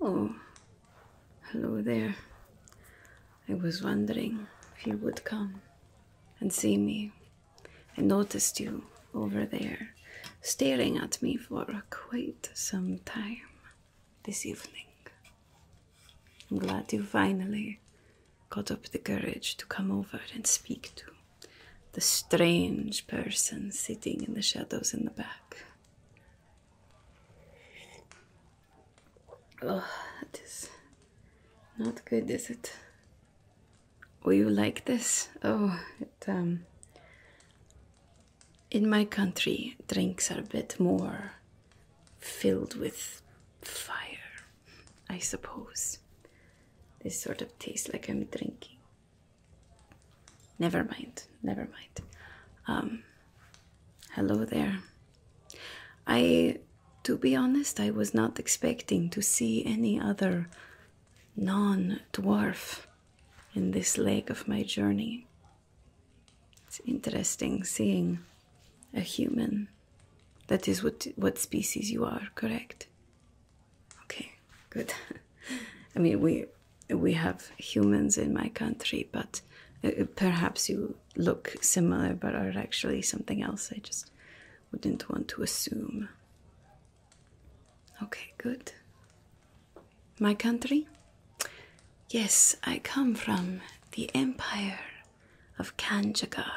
Oh, hello there. I was wondering if you would come and see me. I noticed you over there staring at me for quite some time this evening. I'm glad you finally got up the courage to come over and speak to the strange person sitting in the shadows in the back. Oh, it's not good, is it? Will you like this? Oh, it, um, in my country, drinks are a bit more filled with fire, I suppose. This sort of tastes like I'm drinking. Never mind, never mind. Um, hello there. I, to be honest, I was not expecting to see any other non dwarf in this leg of my journey. It's interesting seeing a human. That is what what species you are, correct? Okay, good. I mean, we we have humans in my country, but uh, uh, perhaps you look similar but are actually something else. I just wouldn't want to assume. Okay, good. My country? Yes, I come from the Empire of Kanjagar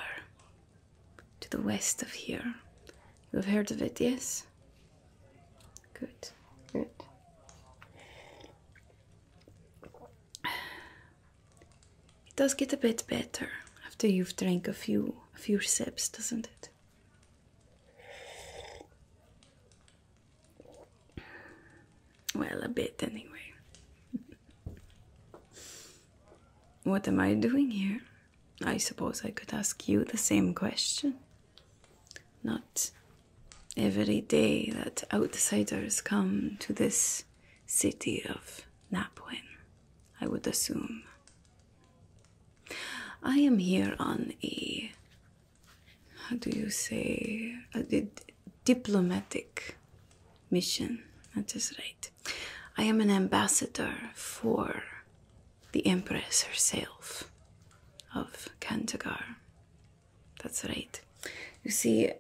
to the west of here. You have heard of it, yes? Good, good. It does get a bit better after you've drank a few few sips, doesn't it? Well, a bit anyway. what am I doing here? I suppose I could ask you the same question. Not every day that outsiders come to this city of Napwin, I would assume. I am here on a, how do you say, a diplomatic mission. That is right. I am an ambassador for the Empress herself of Kantagar. That's right. You see,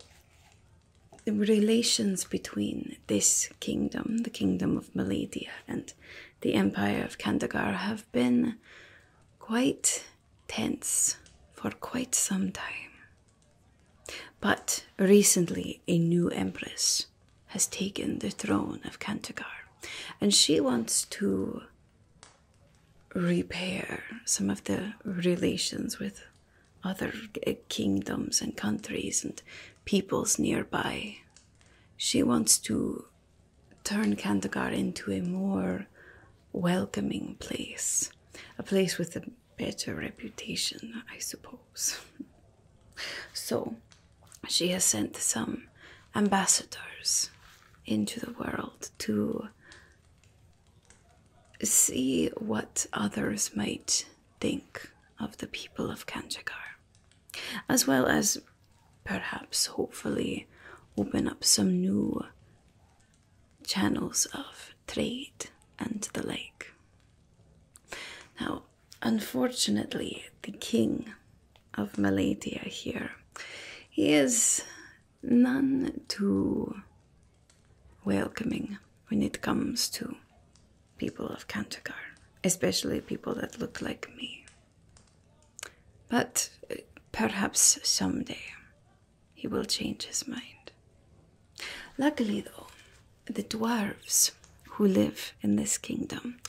the relations between this kingdom, the kingdom of Meledia, and the empire of Kandagar have been quite tense for quite some time. But recently, a new empress has taken the throne of Kandagar, and she wants to repair some of the relations with other kingdoms and countries and peoples nearby. She wants to turn Kandagar into a more welcoming place, a place with a better reputation, I suppose. So she has sent some ambassadors into the world to see what others might think of the people of Kanjakar, as well as perhaps hopefully open up some new channels of trade and the like. Now, unfortunately, the king of Maladia here he is none too welcoming when it comes to people of Kantakar, especially people that look like me. But uh, perhaps someday he will change his mind. Luckily, though, the dwarves who live in this kingdom,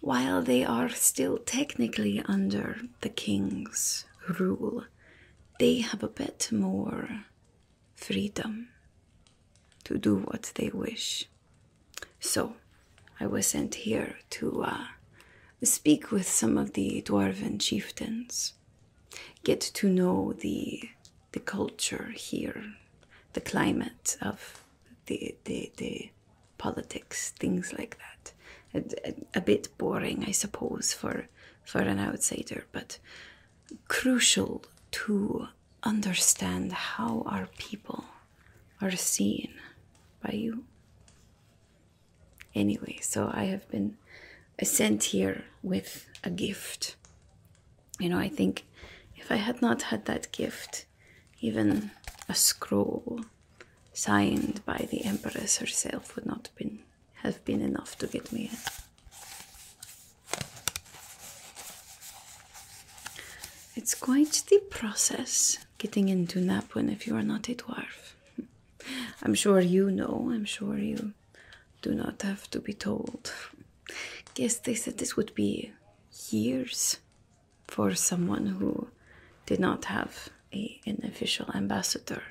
while they are still technically under the king's rule, they have a bit more freedom to do what they wish. So I was sent here to uh, speak with some of the dwarven chieftains, get to know the the culture here, the climate of the the, politics, things like that. A, a bit boring, I suppose, for for an outsider, but crucial to understand how our people are seen by you. Anyway, so I have been sent here with a gift. You know, I think if I had not had that gift, even a scroll signed by the Empress herself would not have been have been enough to get me in. It's quite the process getting into Napwin if you are not a dwarf. I'm sure you know, I'm sure you do not have to be told. Guess they said this would be years for someone who did not have an official ambassador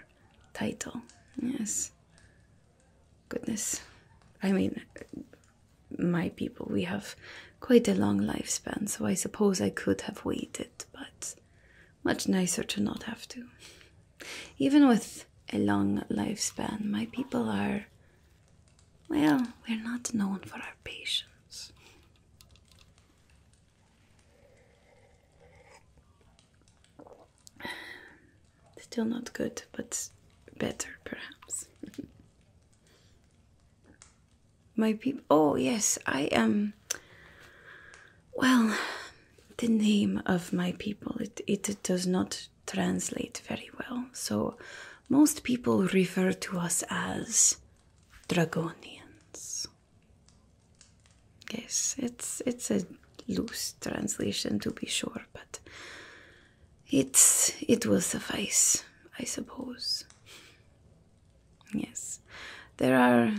title. Yes. Goodness. I mean, my people, we have quite a long lifespan, so I suppose I could have waited, but much nicer to not have to. Even with a long lifespan, my people are. Well, we're not known for our patience. Still not good, but better perhaps. My people. Oh, yes, I am. Um, well, the name of my people, it, it does not translate very well. So most people refer to us as Dragonians. Yes, it's it's a loose translation to be sure, but it's it will suffice, I suppose. Yes, there are,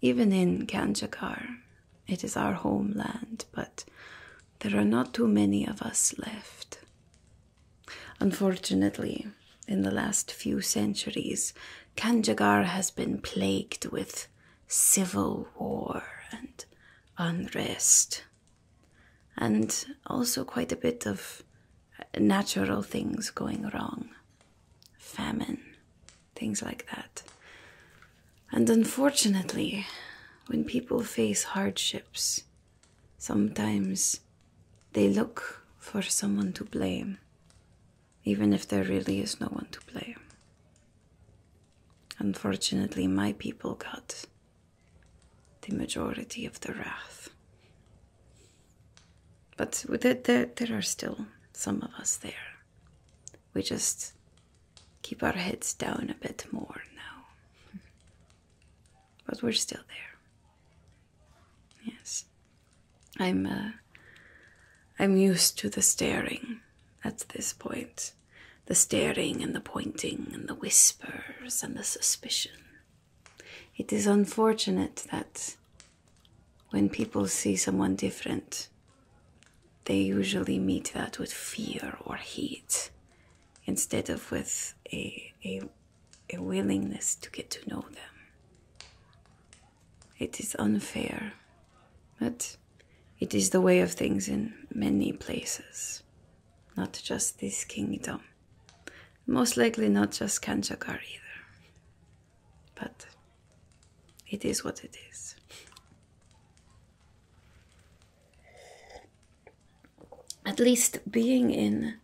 even in Kanjakar, it is our homeland, but there are not too many of us left. Unfortunately, in the last few centuries, Kanjagar has been plagued with civil war and unrest and also quite a bit of natural things going wrong famine, things like that. And unfortunately, when people face hardships, sometimes they look for someone to blame, even if there really is no one to blame. Unfortunately, my people got the majority of the wrath. But there, are still some of us there. We just keep our heads down a bit more now. But we're still there. Yes. I'm, uh, I'm used to the staring at this point the staring and the pointing and the whispers and the suspicion. It is unfortunate that when people see someone different, they usually meet that with fear or hate instead of with a, a, a willingness to get to know them. It is unfair, but it is the way of things in many places, not just this kingdom. Most likely not just Kanjakar either. But it is what it is. At least being in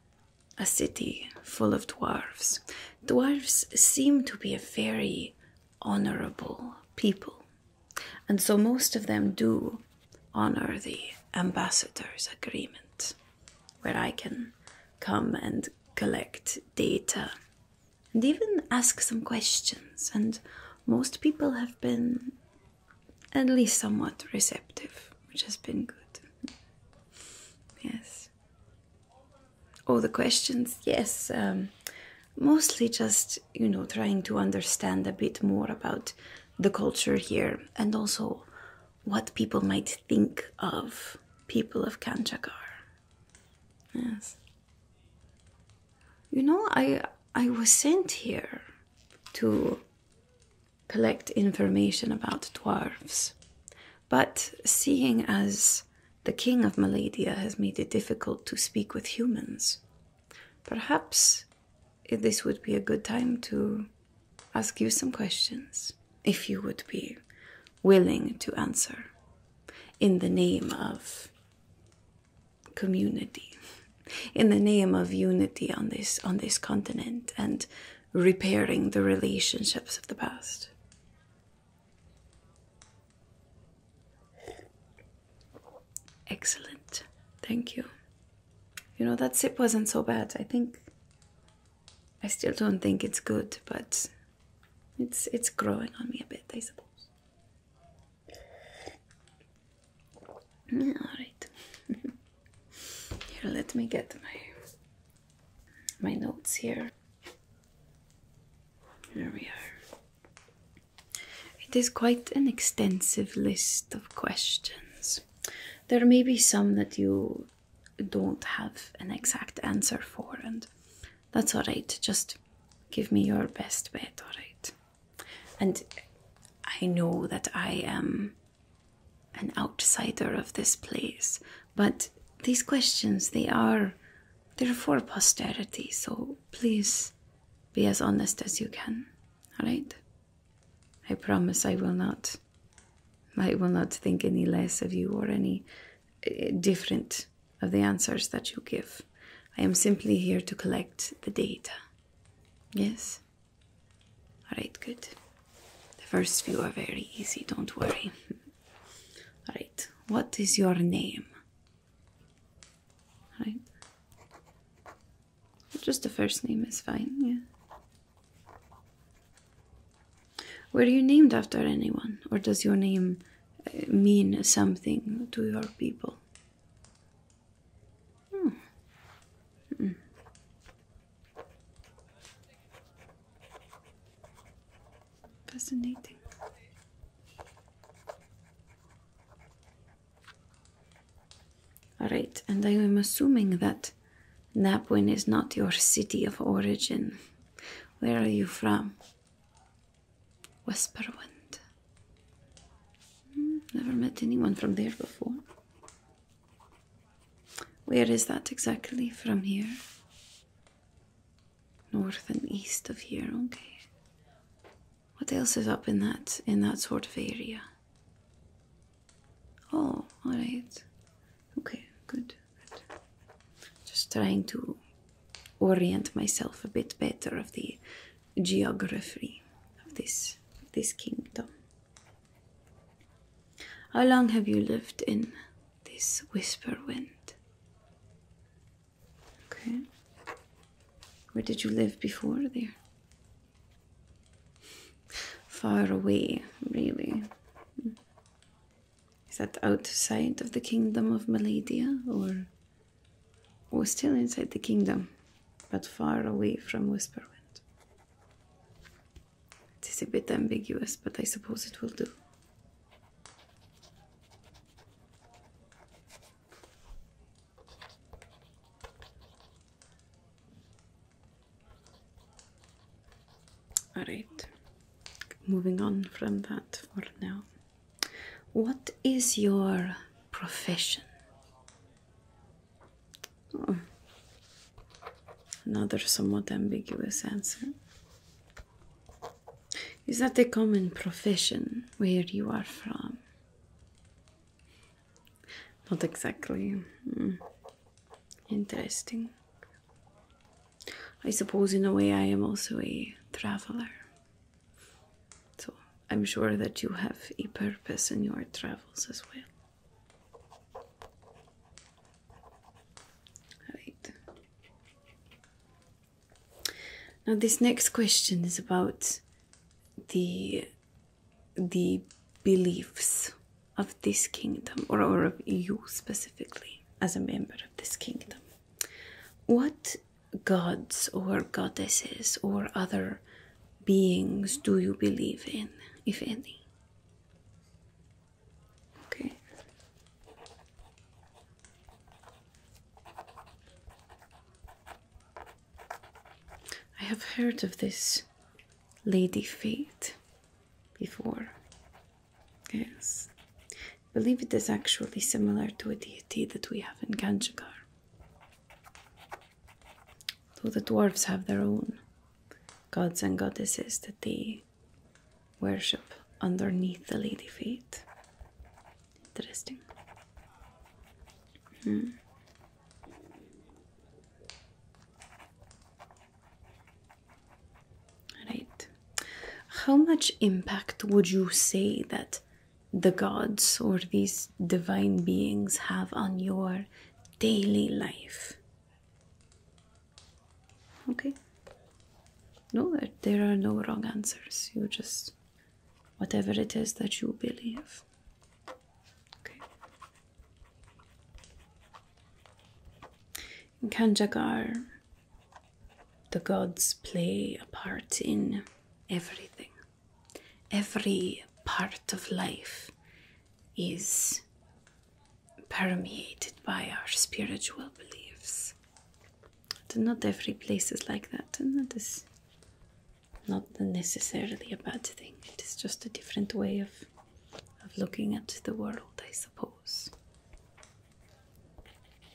a city full of dwarves, dwarves seem to be a very honorable people. And so most of them do honor the ambassador's agreement, where I can come and collect data and even ask some questions. And most people have been at least somewhat receptive, which has been good. Yes. All the questions, yes. Um, mostly just, you know, trying to understand a bit more about the culture here and also what people might think of people of Kanchagar. Yes. You know, I I was sent here to collect information about dwarves. But seeing as the king of Maladia has made it difficult to speak with humans, perhaps this would be a good time to ask you some questions if you would be willing to answer in the name of community in the name of unity on this on this continent and repairing the relationships of the past Excellent. Thank you. You know, that sip wasn't so bad. I think. I still don't think it's good, but it's it's growing on me a bit, I suppose. all right. here, let me get my my notes here. There we are. It is quite an extensive list of questions. There may be some that you don't have an exact answer for, and that's all right. Just give me your best bet, all right? And I know that I am an outsider of this place, but these questions, they are. there for posterity, so please be as honest as you can. Alright? I promise I will not. I will not think any less of you or any eh, different of the answers that you give. I am simply here to collect the data. Yes? Alright, good. The first few are very easy, don't worry. Alright, what is your name? Alright. Just the first name is fine, yeah. Were you named after anyone, or does your name uh, mean something to your people? Hmm. Hmm. Fascinating. All right, and I am assuming that Napwin is not your city of origin. Where are you from? Whisperwind. Hmm, never met anyone from there before. Where is that exactly from here? North and east of here, okay. What else is up in that in that sort of area? Oh, all right. Okay, good. Just trying to orient myself a bit better of the geography of this this kingdom. How long have you lived in this whisper wind? Okay. Where did you live before there? Far away, really. Is that outside of the kingdom of Maladia or still inside the kingdom, but far away from Whisperwind? It is a bit ambiguous, but I suppose it will do. Alright, moving on from that for now. What is your profession? Hmm. Another somewhat ambiguous answer. Is that a common profession where you are from? Not exactly. Hmm. Interesting. I suppose, in a way, I am also a traveler. So I'm sure that you have a purpose in your travels as well. Right. Now, this next question is about the the beliefs of this kingdom or, or of you specifically as a member of this kingdom what gods or goddesses or other beings do you believe in if any okay I have heard of this lady fate before. Yes. I believe it is actually similar to a deity that we have in Kanjikar. Though the dwarves have their own gods and goddesses that they worship underneath the lady fate. Interesting. Hmm. Right. How much impact would you say that the gods or these divine beings have on your daily life? Okay. No, there are no wrong answers. You just whatever it is that you believe. Okay. In Kanjagar, the gods play a part in everything. Every part of life is permeated by our spiritual beliefs. Not every place is like that, and that is not necessarily a bad thing. It is just a different way of of looking at the world, I suppose.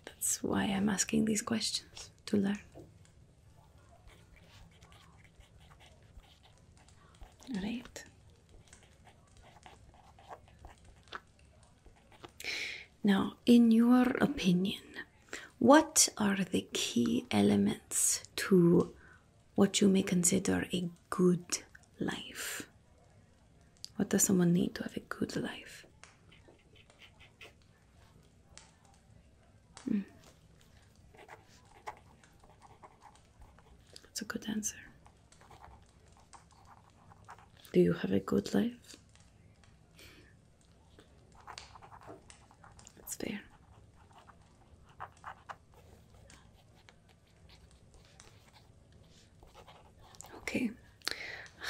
That's why I'm asking these questions to learn. Right. Now, in your opinion, what are the key elements to what you may consider a good life? What does someone need to have a good life? Hmm. That's a good answer. Do you have a good life? That's fair. Okay,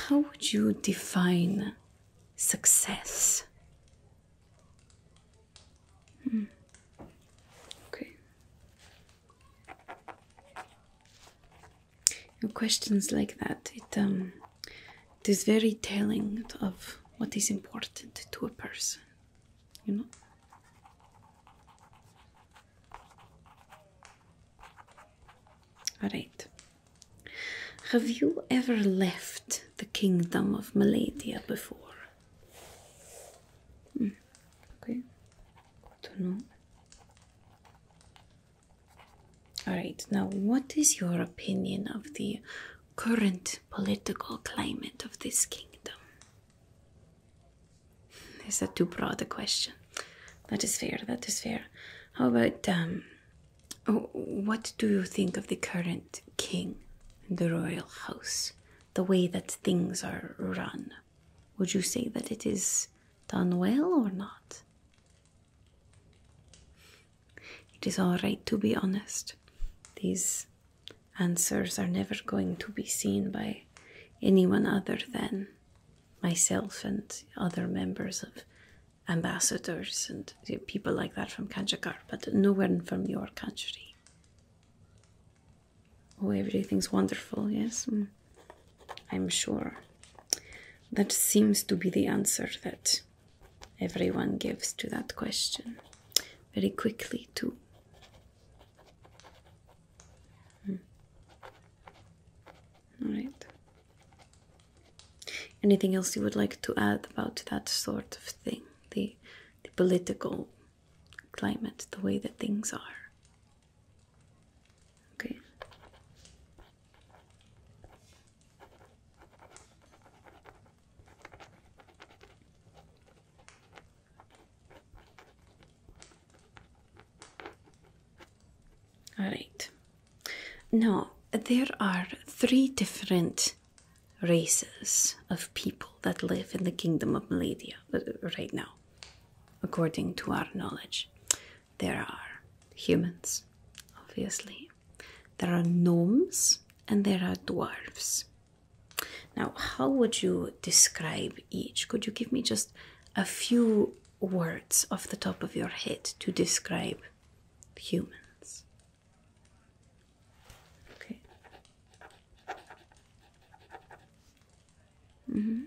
how would you define success? Hmm. Okay. questions like that, it um it is very telling of what is important to a person you know. Alright. Have you ever left the kingdom of Maladia before? Hmm. Okay. Don't know. Alright, now what is your opinion of the current political climate of this kingdom? Is that too broad a question? That is fair, that is fair. How about, um, what do you think of the current king and the royal house? The way that things are run? Would you say that it is done well or not? It is all right to be honest. These answers are never going to be seen by anyone other than myself and other members of ambassadors and people like that from Kanjakar, but nowhere from your country. Oh, everything's wonderful, yes? Mm. I'm sure. That seems to be the answer that everyone gives to that question very quickly, too. Hmm. All right. Anything else you would like to add about that sort of thing? The, the political climate, the way that things are. Okay. All right. Now, there are three different races of people that live in the kingdom of Maladia uh, right now, according to our knowledge. There are humans, obviously, there are gnomes, and there are dwarves. Now, how would you describe each? Could you give me just a few words off the top of your head to describe humans? Okay. Mm-hmm.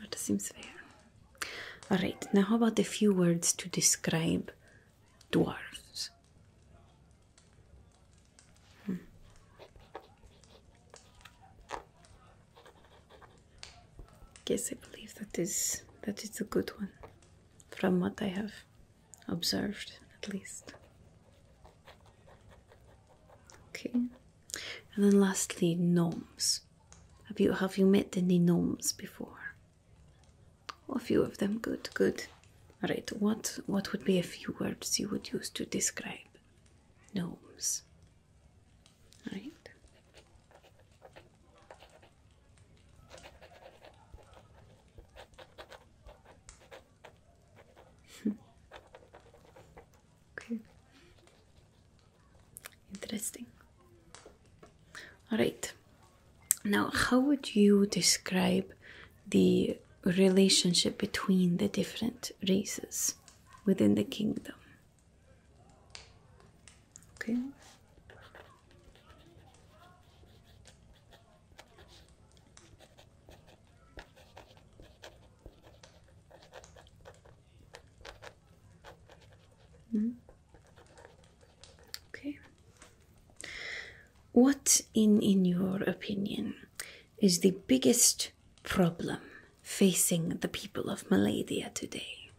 That seems fair. All right, now how about a few words to describe dwarves? Hmm. Yes, I believe that is that is a good one, from what I have observed, at least. Okay. And then lastly, gnomes. Have you have you met any gnomes before? a few of them. Good, good. Right. What what would be a few words you would use to describe gnomes? All right. Okay. Interesting. All right. Now, how would you describe the relationship between the different races within the kingdom? Okay. Mm. Okay. What, in, in your opinion, is the biggest problem facing the people of Malaysia today?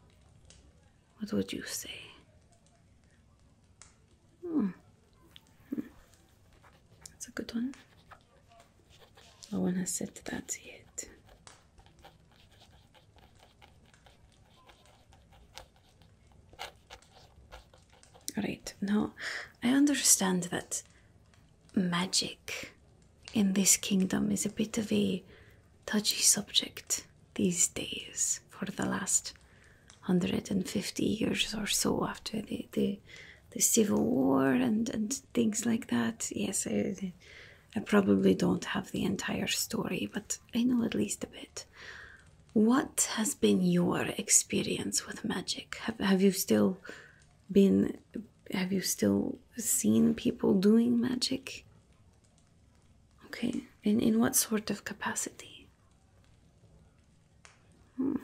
What would you say? Hmm. hmm. That's a good one. I want to set that to it. Alright, now I understand that magic in this kingdom is a bit of a touchy subject these days for the last 150 years or so after the, the, the Civil War and, and things like that. Yes, I, probably don't have the entire story, but I know at least a bit. What has been your experience with magic? Have, you still been? Have you still seen people doing magic? Okay, and in what sort of capacity? Hmm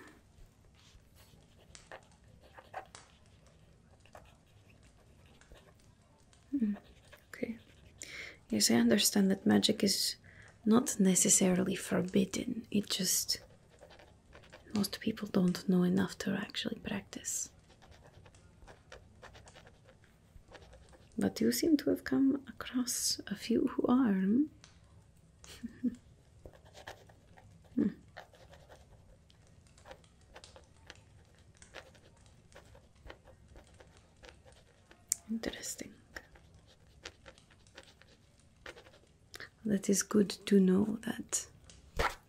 okay. Yes, I understand that magic is not necessarily forbidden, it just. Most people don't know enough to actually practice. But you seem to have come across a few who are. Hmm? Hmm. Interesting. That is good to know that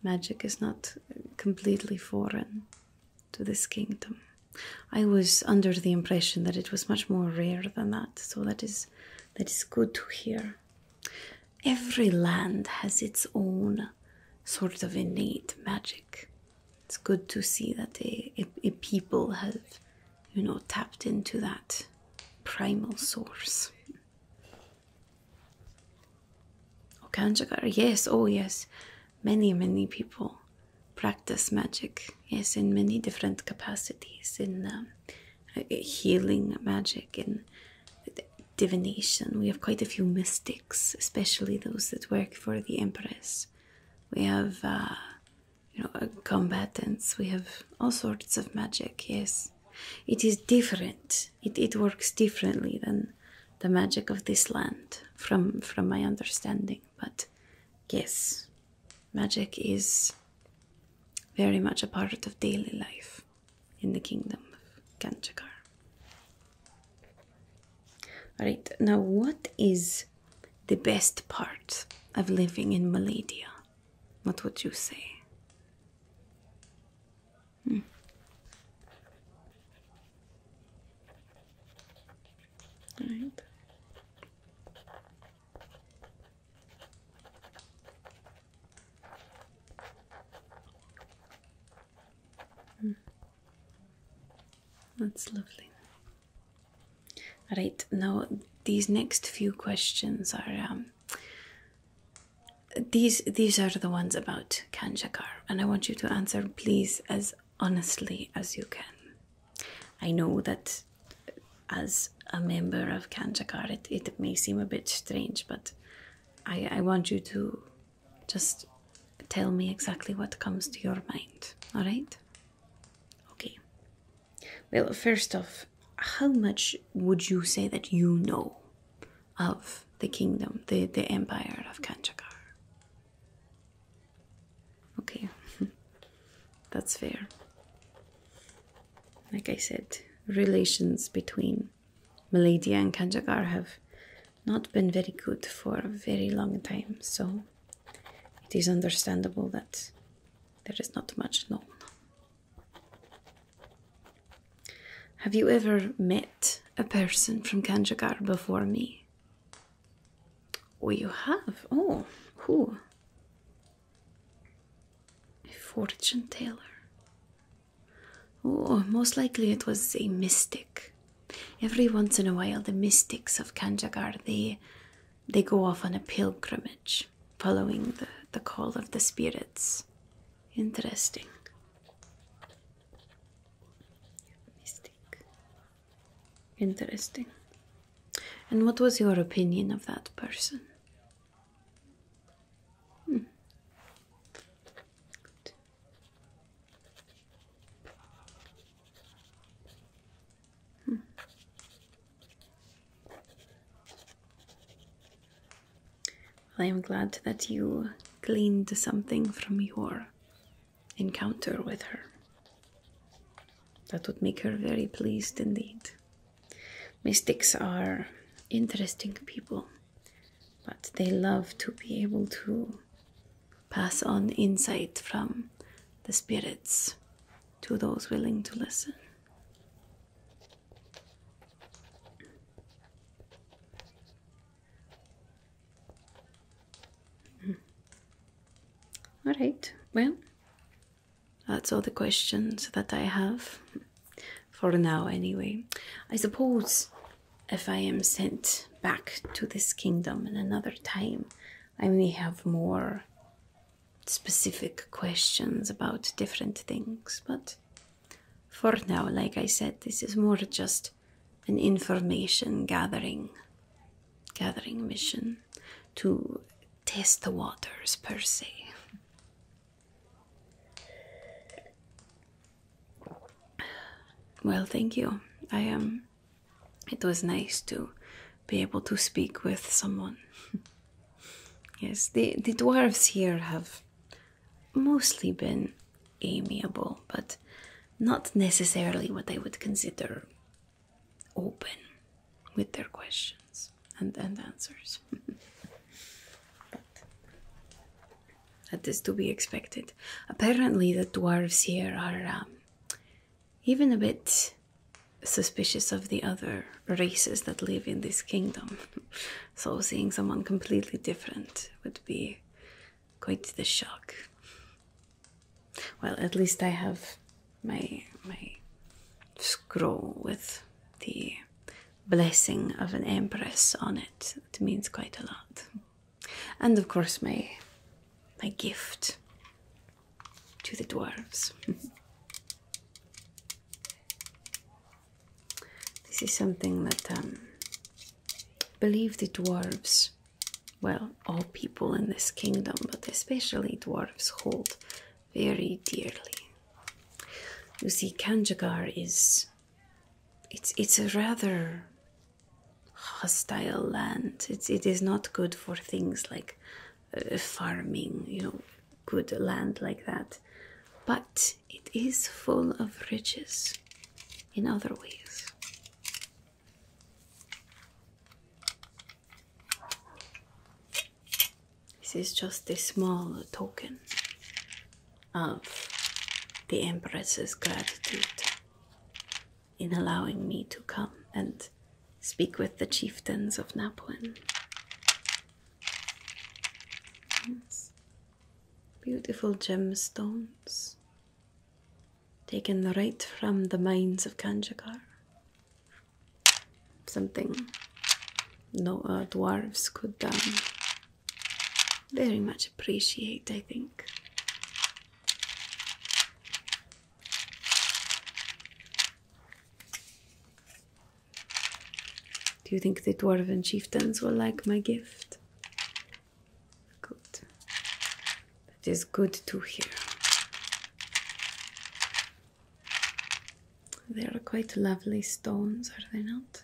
magic is not completely foreign to this kingdom. I was under the impression that it was much more rare than that, so that is that is good to hear every land has its own sort of innate magic. It's good to see that a, people have, you know, tapped into that primal source. Okanjagar, yes, oh yes, many, many people practice magic, yes, in many different capacities, in um, healing magic, and divination. We have quite a few mystics, especially those that work for the Empress. We have, uh, you know, uh, combatants. We have all sorts of magic. Yes, it is different. It it works differently than the magic of this land, from from my understanding. But yes, magic is very much a part of daily life in the kingdom of Kanchakar. Alright, now what is the best part of living in Maladia? What would you say? Hmm. All right. Hmm. That's lovely. All right, now these next few questions are um, these these are the ones about Kanjakar, and I want you to answer, please, as honestly as you can. I know that as a member of Kanjakar, it, it may seem a bit strange, but I, I want you to just tell me exactly what comes to your mind, all right? Okay. Well, first off, how much would you say that you know of the kingdom, the, the empire of Kanchakar? Okay, that's fair. Like I said, relations between um, and Kanjagar have not been very good for a very long time, so it is understandable that there is not much known. Have you ever met a person from Kanjagar before me? Oh, you have? Oh, who? A fortune teller. Oh, most likely it was a mystic. Every once in a while, the mystics of Kanjagar they they go off on a pilgrimage, following the the call of the spirits. Interesting. Mystic. Interesting. And what was your opinion of that person? Hmm. Hmm. I am glad that you gleaned something from your encounter with her. That would make her very pleased indeed. Mystics are interesting people but they love to be able to pass on insight from the spirits to those willing to listen. Hmm. All right, well, that's all the questions that I have for now anyway. I suppose if I am sent back to this kingdom in another time, I may have more specific questions about different things, but for now, like I said, this is more just an information gathering gathering mission to test the waters per se. Well, thank you. I am. Um, it was nice to be able to speak with someone. yes, the the dwarves here have mostly been amiable, but not necessarily what they would consider open with their questions and, and answers. That is to be expected. Apparently, the dwarves here are um, even a bit suspicious of the other races that live in this kingdom. so, seeing someone completely different would be quite the shock. Well, at least I have my my scroll with the blessing of an empress on it. It means quite a lot. And of course, my my gift to the dwarves. this is something that um, believe the dwarves, well, all people in this kingdom, but especially dwarves, hold very dearly. You see, Kanjagar is it's it's a rather hostile land. It's it is not good for things like uh, farming, you know, good land like that. But it is full of riches in other ways. This is just a small token of the Empress's gratitude in allowing me to come and speak with the chieftains of Napuan. Beautiful gemstones taken right from the mines of Kanjigar. Something no uh, dwarves could um, very much appreciate, I think. Do you think the dwarven chieftains will like my gift? Good. That is good to hear. They are quite lovely stones, are they not?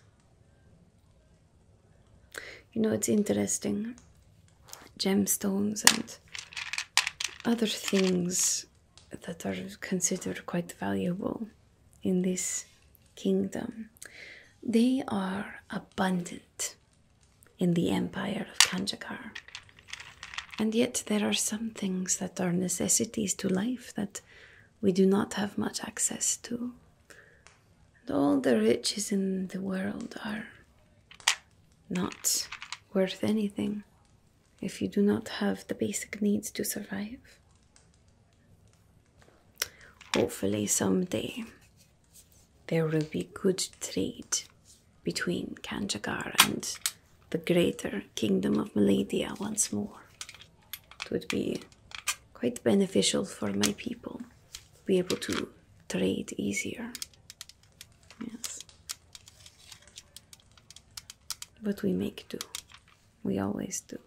You know, it's interesting. Gemstones and other things that are considered quite valuable in this kingdom. They are abundant in the empire of Kanjakar. And yet, there are some things that are necessities to life that we do not have much access to all the riches in the world are not worth anything if you do not have the basic needs to survive. Hopefully, someday there will be good trade between Kanjagar and the greater kingdom of Maladia once more. It would be quite beneficial for my people to be able to trade easier. Yes. But we make do. We always do.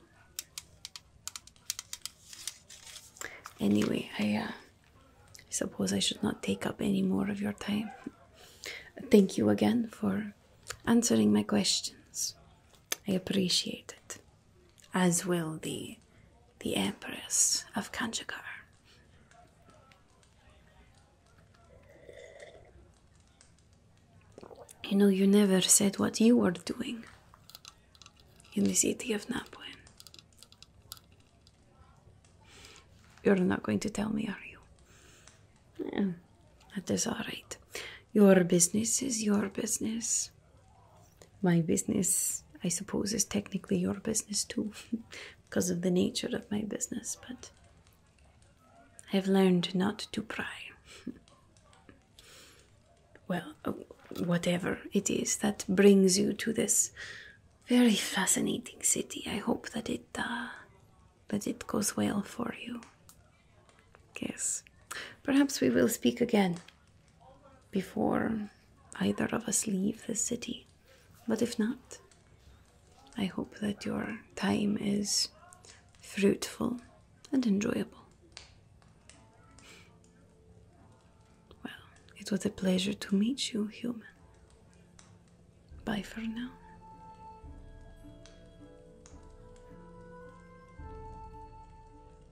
Anyway, uh, I suppose I should not take up any more of your time. Thank you again for answering my questions. I appreciate it as will the, the Empress of Kanjakar. You know, you never said what you were doing in the city of Napwen. You're not going to tell me, are you? that is all right. Your business is your business my business, I suppose, is technically your business too, because of the nature of my business, but I've learned not to pry. well, uh, whatever it is that brings you to this very fascinating city, I hope that it uh, that it goes well for you. Yes, perhaps we will speak again before either of us leave the city. But if not, I hope that your time is fruitful and enjoyable. Well, it was a pleasure to meet you, human. Bye for now.